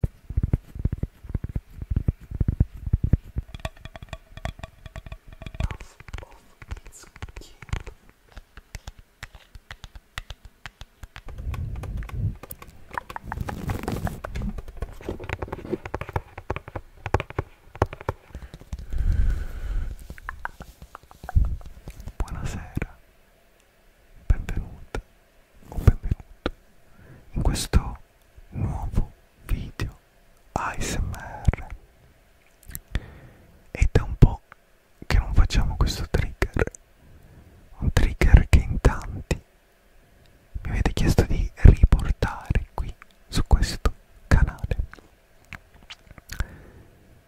Puff off its cube. Buonasera, benvenuta un benvenuto in questo nuovo video ASMR ed è un po' che non facciamo questo trigger un trigger che in tanti mi avete chiesto di riportare qui su questo canale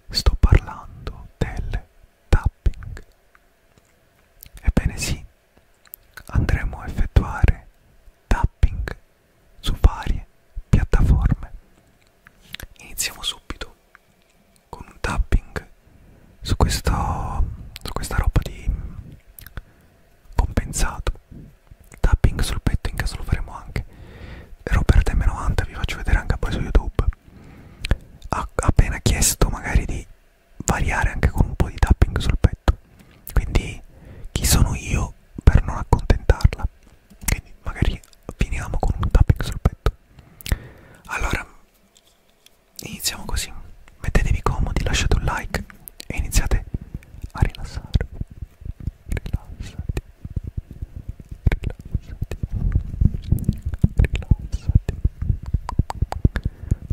sto parlando del tapping ebbene sì andremo a effettuare tapping su varie piattaforme. Iniziamo subito con un tapping su, questo, su questa roba di compensato. Tapping sul petto in caso lo faremo anche. Robert M90 vi faccio vedere anche poi su YouTube. Ha appena chiesto magari di variare anche con un po' di tapping sul petto quindi chi sono io per non accontentarla quindi magari finiamo con un tapping sul petto allora iniziamo così mettetevi comodi lasciate un like e iniziate a rilassarvi rilassati rilassati rilassati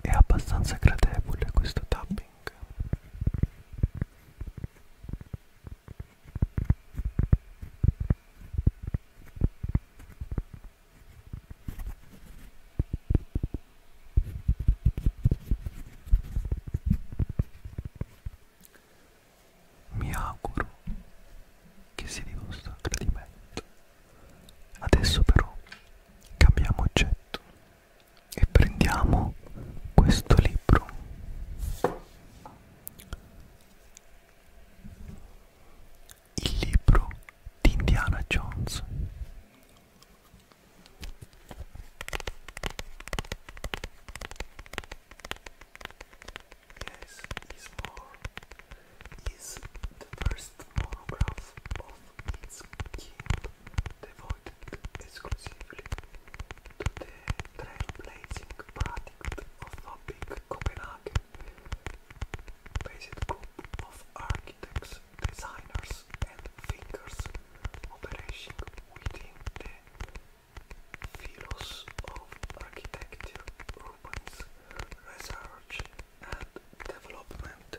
è abbastanza gradevole questo tapping mi auguro che sia di vostro gradimento adesso però cambiamo oggetto e prendiamo questo libro il libro di Indiana Jones Yes, this more is the first monograph of its keep devoted exclusively to the trailblazing product of Lobbyk Copenhagen, based group of architects, designers and thinkers operating within the Philos of architecture, research and development.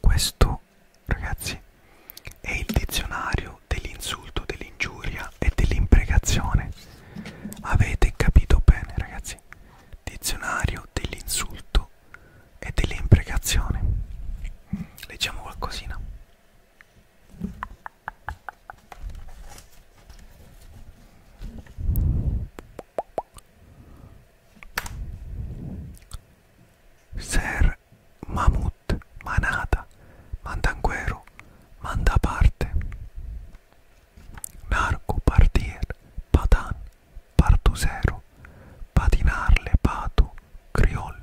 Questo, ragazzi, è il dizionario dell'insulto, dell'ingiuria e dell'imprecazione. Avete capito bene, ragazzi? Dizionario dell'insulto e delle imprecazioni. Leggiamo qualcosina. Ser Mamut, Manata, Mandanguero, Mandaparte, Narco, Partir, Patan, Partusero, Patinarle, Pato, Criollo.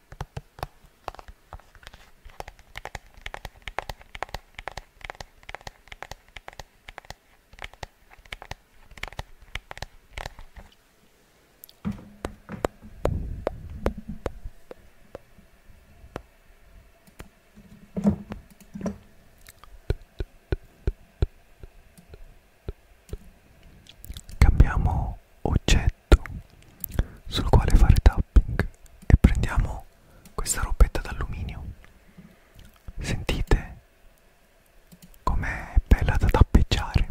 Cambiamo oggetto letto sul quale fare tapping e prendiamo questa robetta d'alluminio sentite com'è bella da tappeggiare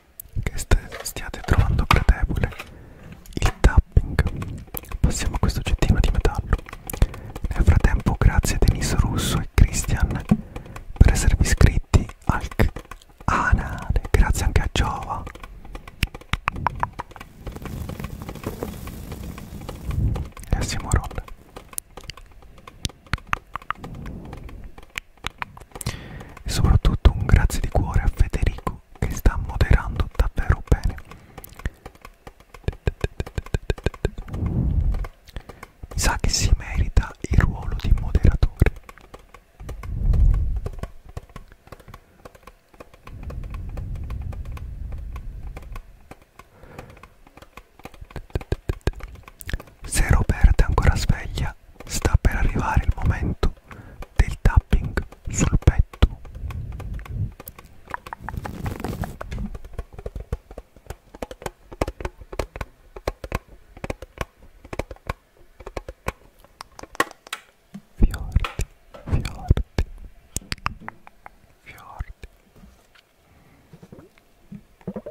che stiate trovando gradevole il tapping. Passiamo a questo oggettino di metallo. Nel frattempo grazie a Denis Russo e Christian per esservi iscritti al canale. Ah, grazie anche a Giova. E a Simorol. E soprattutto un grazie di cuore a Federico che sta moderando davvero bene. Mi sa che si merita il ruolo di moderatore. Se Roberta è ancora sveglia, sta per arrivare il momento del tapping sul petto fiordi fiordi fiordi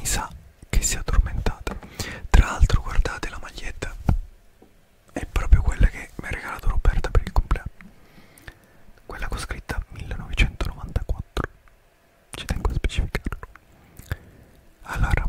Mi sa che si è addormentata. Tra l'altro, guardate la maglietta. È proprio quella che mi ha regalato Roberta per il compleanno. Quella con scritta 1994. Ci tengo a specificarlo. Allora,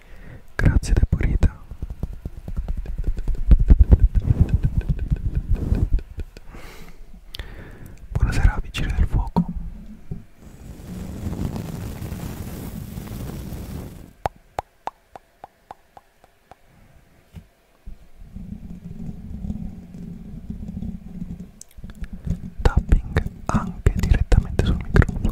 Grazie Depurita. Buonasera vicino del fuoco. Tapping anche direttamente sul microfono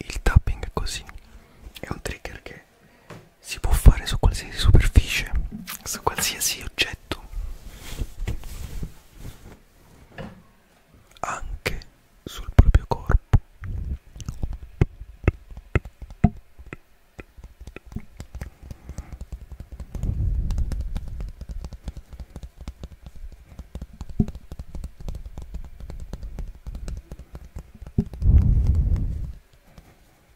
Il tapping così è un trigger che si può fare su qualsiasi superficie, su qualsiasi oggetto, anche sul proprio corpo.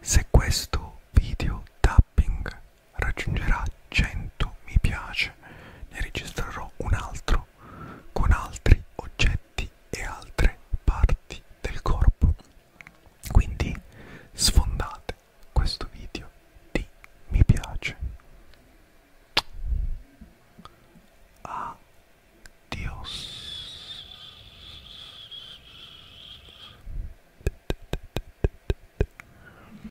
Se questo video tapping raggiungerà 100 mi piace, ne registrerò un altro con altri oggetti e altre parti del corpo. Quindi sfondate questo video di mi piace. Adios.